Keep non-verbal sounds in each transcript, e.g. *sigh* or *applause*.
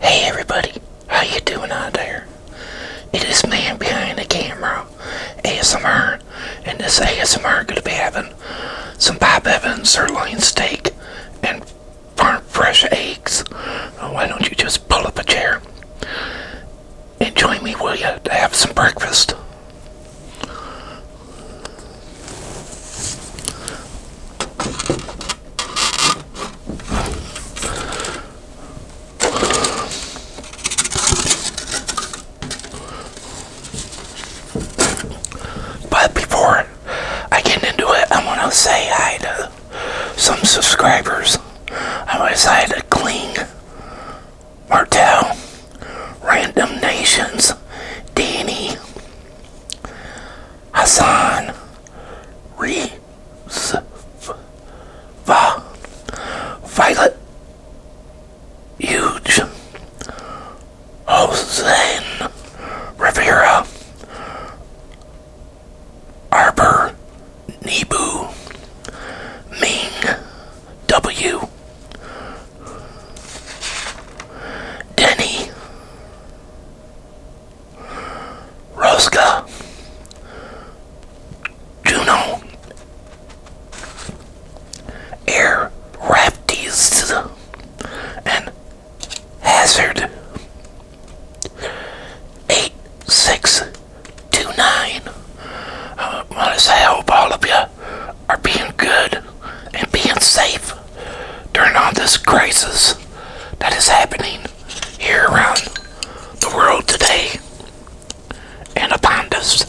Hey everybody, how you doing out there? It is man behind the camera, ASMR, and this ASMR gonna be having some Bob Evans sirloin steak and farm fresh eggs. Oh, why don't you just pull up a chair and join me, will you, to have some breakfast? But before I get into it, I want to say hi to some subscribers. I want to say hi to Kling, Martel, Random Nations, Danny, Hassan Reeves Violet Huge Jose Rivera Arbor Nebu Ming W Denny Rosca, Juno, Air Raptis, and Hazard. 8629. Uh, I want to say I hope all of you are being good and being safe during all this crisis that is happening here around the world today and upon us.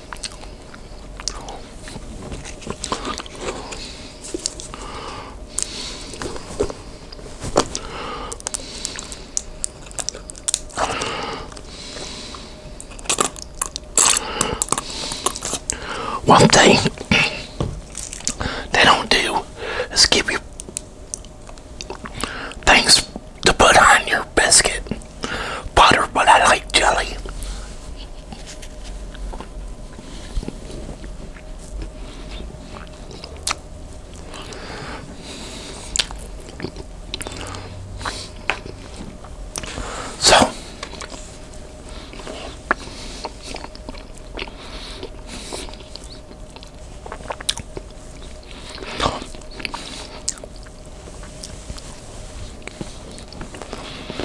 One thing they don't do is give you things to put on your biscuit butter, but I like jelly. So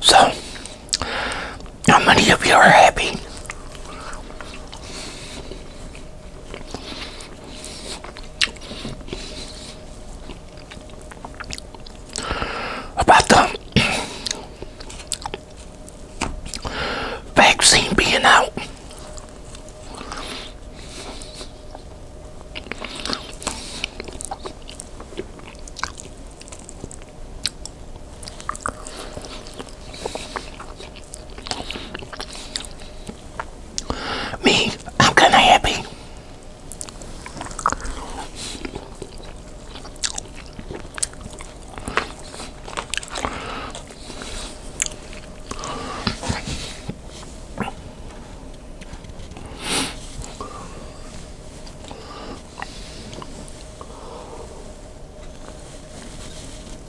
So, how many of you are happy? about the vaccine being out. Me, I'm kind of happy.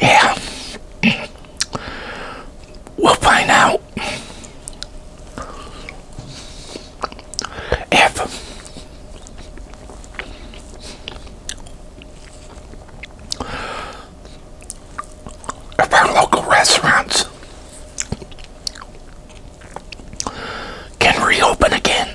Yeah, we'll find out if of our local restaurants can reopen again.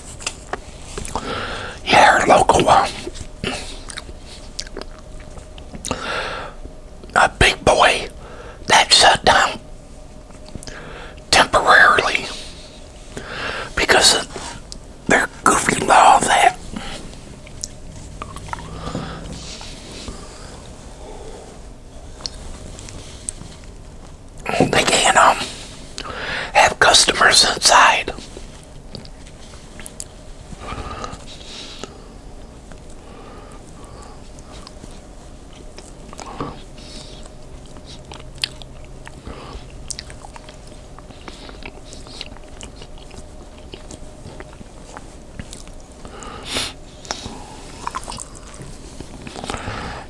Yeah, local one. A big boy that shut down temporarily because of their goofy law that they can um have customers inside.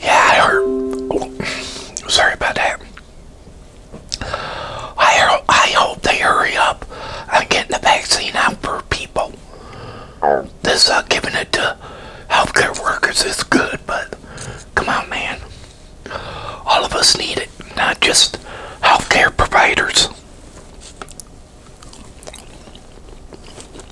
Yeah, I heard. sorry about that. I I hope they hurry up I'm getting the vaccine out for people. This uh, giving it to healthcare workers is good, but come on, man. All of us need it, not just healthcare providers.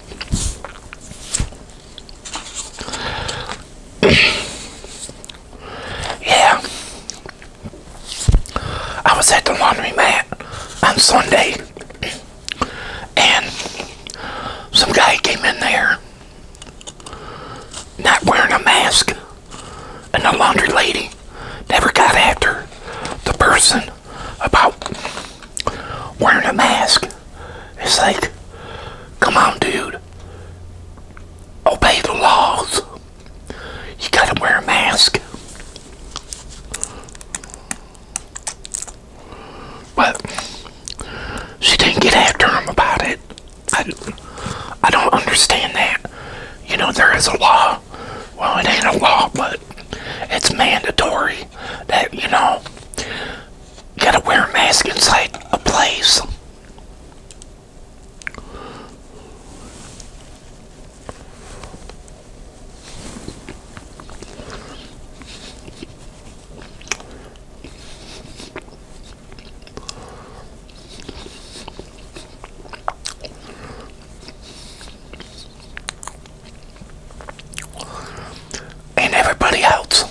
*coughs* yeah. I was at the laundry mat on Sunday and some guy came in there not wearing a mask and the laundry lady never got after the person about wearing a mask. It's like, come on, dude. Obey the laws. You gotta wear a mask. But she didn't get after him about it. I, I don't understand that. You know, there is a law. Well, it ain't a law, but it's mandatory that, you know, gotta wear a mask inside a place and everybody else,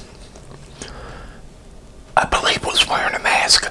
I believe, was wearing a mask.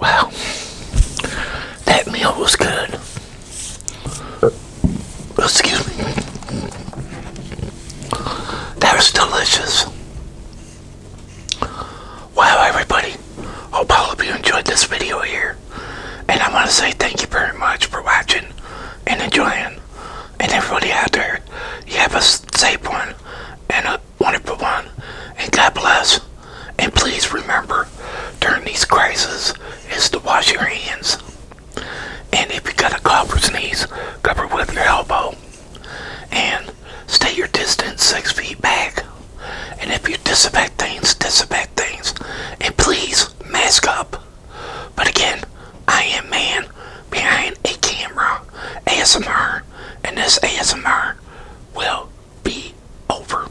Well, that meal was good. Excuse me. That was delicious. Wow, everybody. Hope all of you enjoyed this video here. And I want to say thank you very much for watching and enjoying. And everybody out there, you have a safe one and a wonderful one. And God bless. And please remember, during these crises, is to wash your hands. And if you got a cough or sneeze, cover with your elbow. And stay your distance six feet back. And if you disinfect things, disinfect things. And please, mask up. But again, I am man behind a camera, ASMR, and this ASMR will be over.